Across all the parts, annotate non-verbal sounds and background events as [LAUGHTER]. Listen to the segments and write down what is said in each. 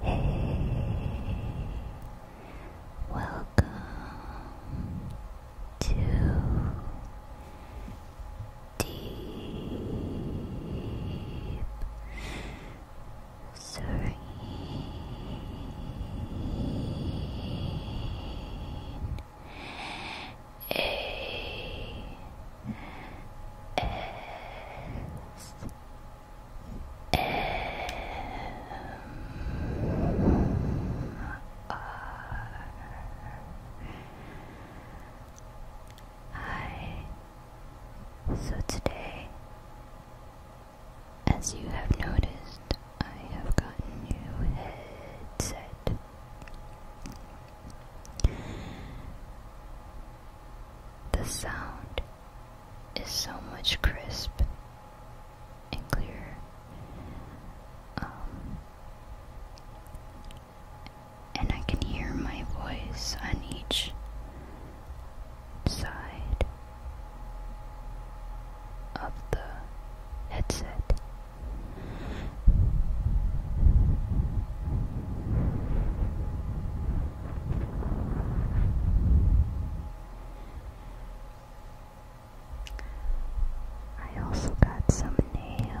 Hey, welcome to Deep Serene. A S M R Hi. So today, as you have noticed, I have gotten new headset. The sound is so much crisp and clear. Um, and I can hear my voice on each side of the headset. I also got some nails.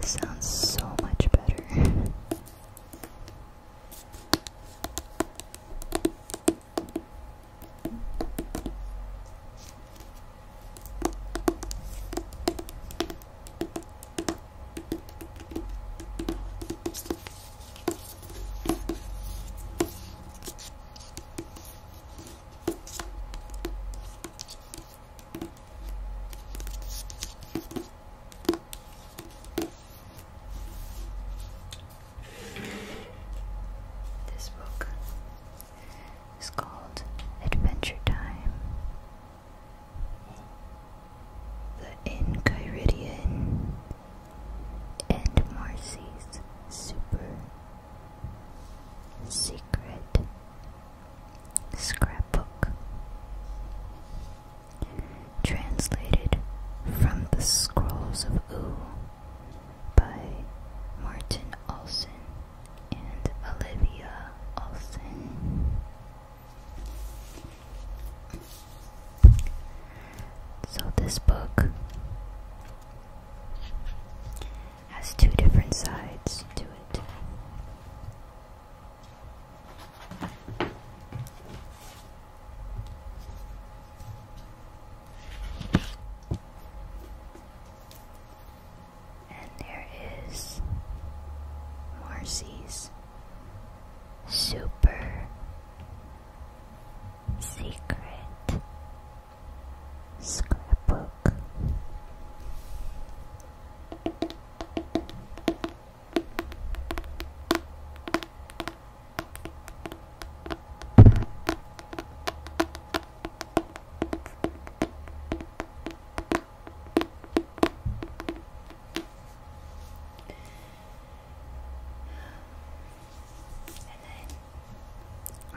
This sounds so much better. This book is called Adventure Time. The Inkyridian and Marcy's super secret scrapbook. Translated from the Scrolls of Oo by Martin Olsen and Olivia Olsen. So, this book has two different sides to it. And there is Marcy's super Secret Scrapbook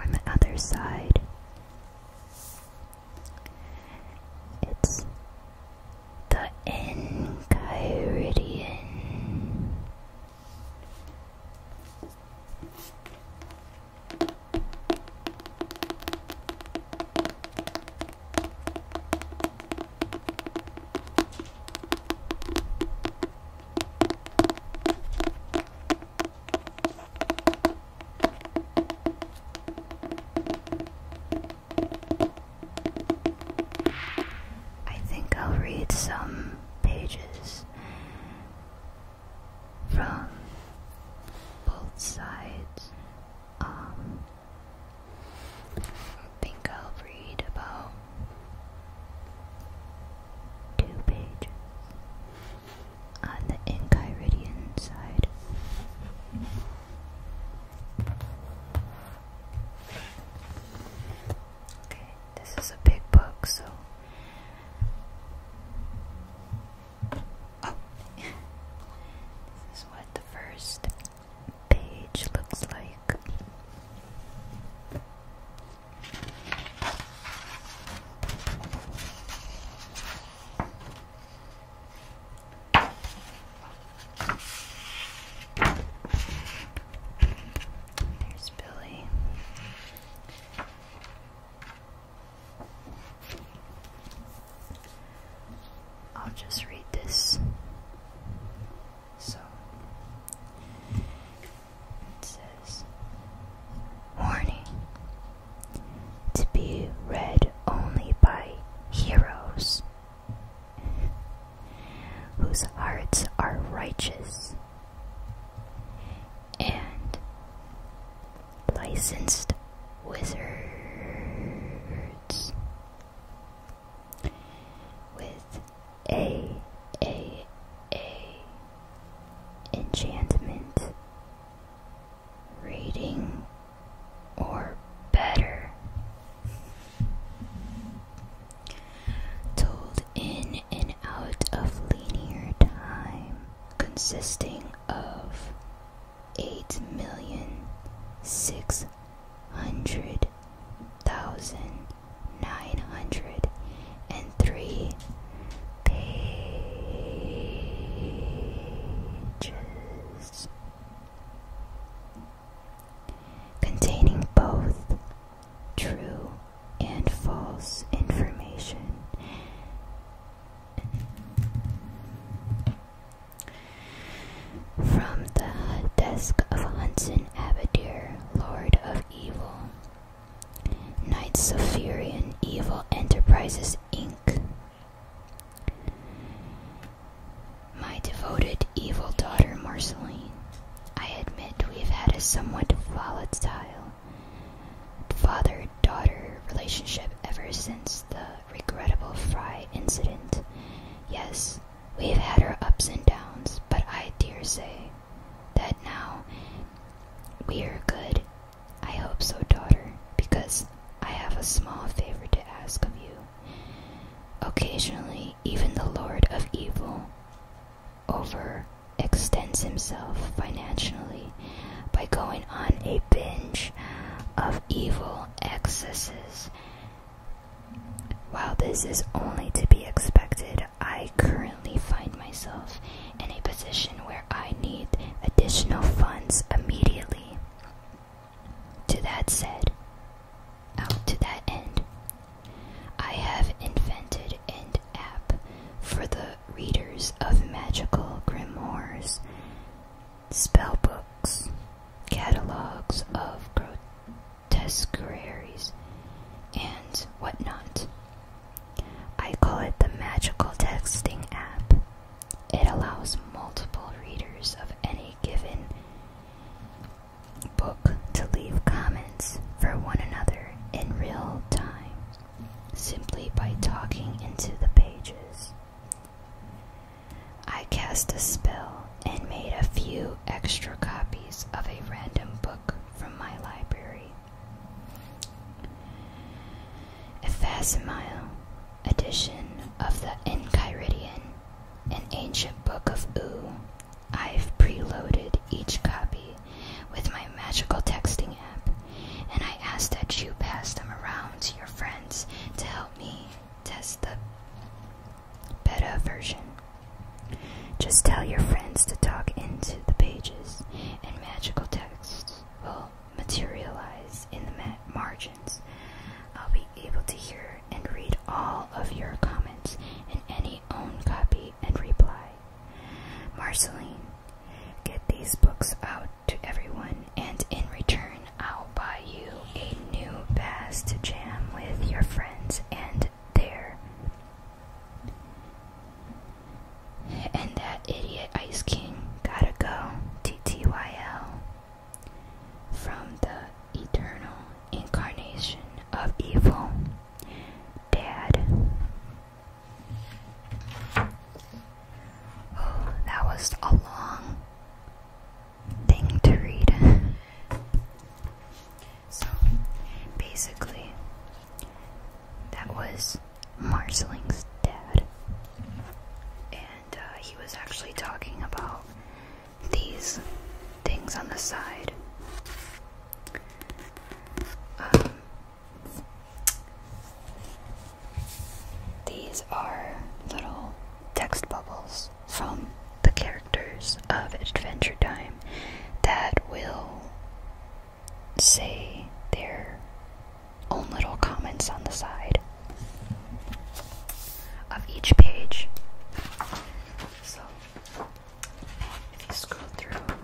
and then on the other side, it's the Enchiridion. I think I'll read some pages from both sides. Um, think I'll read about two pages on the Enchiridion side. Okay, this is a big book, so. Oh! [LAUGHS] this is what the first page looks like. There's Billy. I'll just read this so it says Warning to be read only by heroes whose hearts are righteous and licensed wizards with a a a enchantment reading or better told in and out of linear time consisting of eight million six hundred thousand nine hundred and three pages containing both true and false information. From the desk of Hudson Abadir, lord of evil. Knights of Fury and Evil Enterprises Inc. My devoted evil daughter Marceline, I admit we've had a somewhat volatile father daughter relationship ever since the regrettable Fry incident. Yes, We've had our ups and downs, but I dare say that now we are good. I hope so, daughter, because I have a small favor to ask of you. Occasionally, even the Lord of Evil overextends himself financially by going on a binge of evil excesses while this is only to be expected, I currently find myself in a position where I need additional funds immediately. To that said, out oh, to that end, I have invented an app for the readers of magical grimoires, spell books, catalogs of tesseries, and whatnot. I call it the magical texting app. It allows multiple readers of any given book to leave comments for one another in real time simply by talking into the pages. I cast a spell and made a few extra copies of a random book from my library. A Fasimile edition of the Enchiridion, an ancient book of Oo. I've preloaded each copy with my magical texting app, and I ask that you pass them around to your friends to help me test them beta version. Just tell your friends to talk into the pages, and magical texts will materialize in the margins. I'll be able to hear and read all of your comments in any own copy and reply. Marceline, get these books out to everyone, and in return, I'll buy you a new bass jam with your friends and there. And that idiot Ice King gotta go. TTYL. From the eternal incarnation of evil. Dad. Oh, that was a long thing to read. [LAUGHS] So basically, that was Marceling's dad, and uh, he was actually talking about these things on the side. Um, these are little text bubbles from the characters of Adventure Time that will say their own little comments on the side of each page. So scroll through,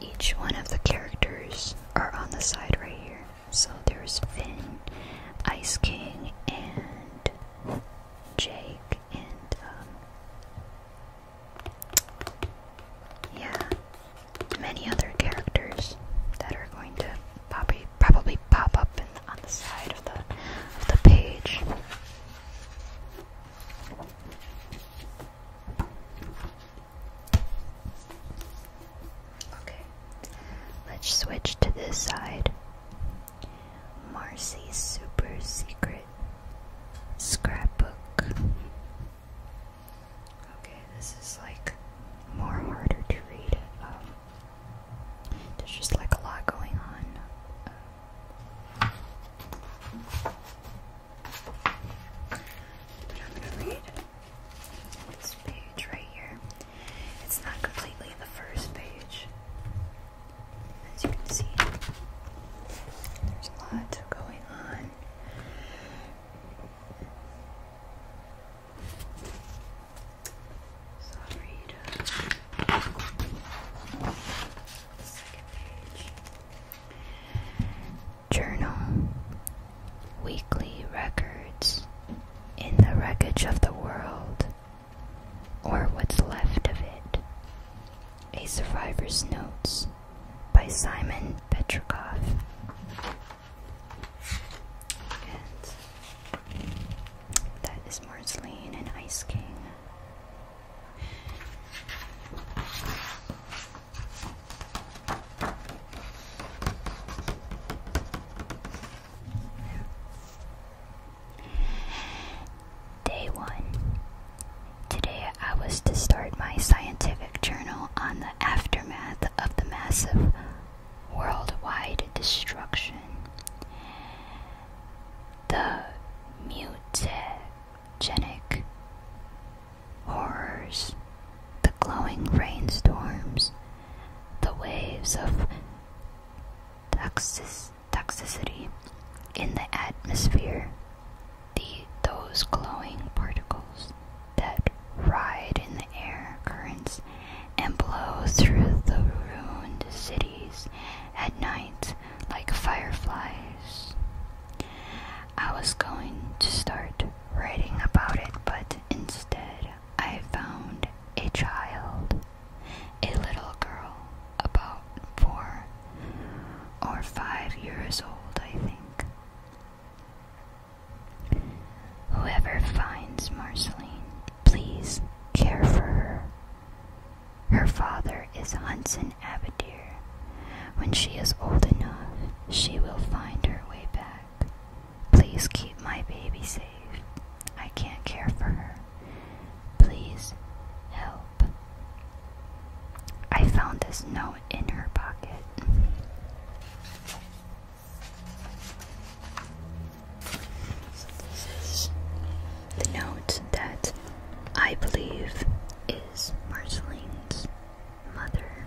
each one of the characters are on the side right here. So there's Finn, Ice King, and Jake and um, yeah, many other characters that are going to probably probably pop up on the side of the of the page. Okay, let's switch to this side. Marcy's Super Secret Scrapbook. Okay, this is like more harder to read. Um, there's just like a lot going on. I'm gonna read this page right here. It's not completely the first page. As you can see, there's a lot going on. So i uh, second page. Journal, weekly records. In the wreckage of the world, or what's left of it. A Survivor's Notes by Simon Petrikov. that is Mars and Ice King. Day 1. Today I was to start my scientific journal on the aftermath of the massive worldwide destruction. The mutagenic horrors, the glowing rainstorms, the waves of toxic toxicity in the atmosphere. The, those glowing particles that ride in the air currents and blow through the ruined cities at night like fireflies. I was going to start writing about it, but instead I found a child a little girl, about four or five years old, I think. Whoever finds Marceline, please care for her. Her father is Hudson Abadir. When she is old enough, she will find her way back. Please keep my baby safe. I can't care for her. Please help. I found this note in her pocket. this is the note that I believe is Marceline's mother.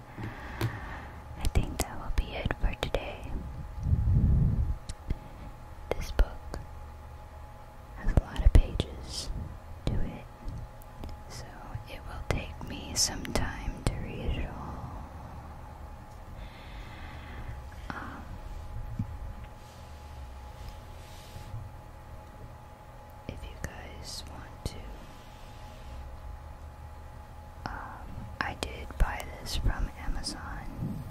I think that will be it for today. This book has a lot of pages to it, so it will take me some time to read it all. Um, if you guys want to um, I did buy this from Amazon.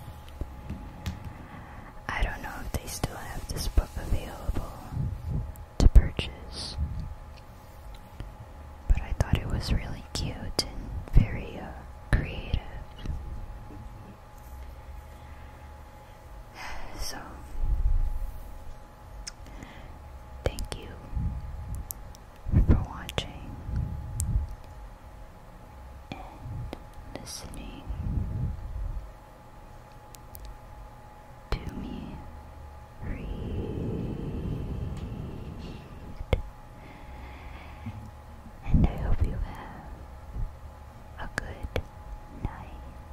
I don't know if they still have this book available to purchase, but I thought it was really cute and very uh, creative. [SIGHS] So, Thank you for watching and listening to me read. And I hope you have a good night.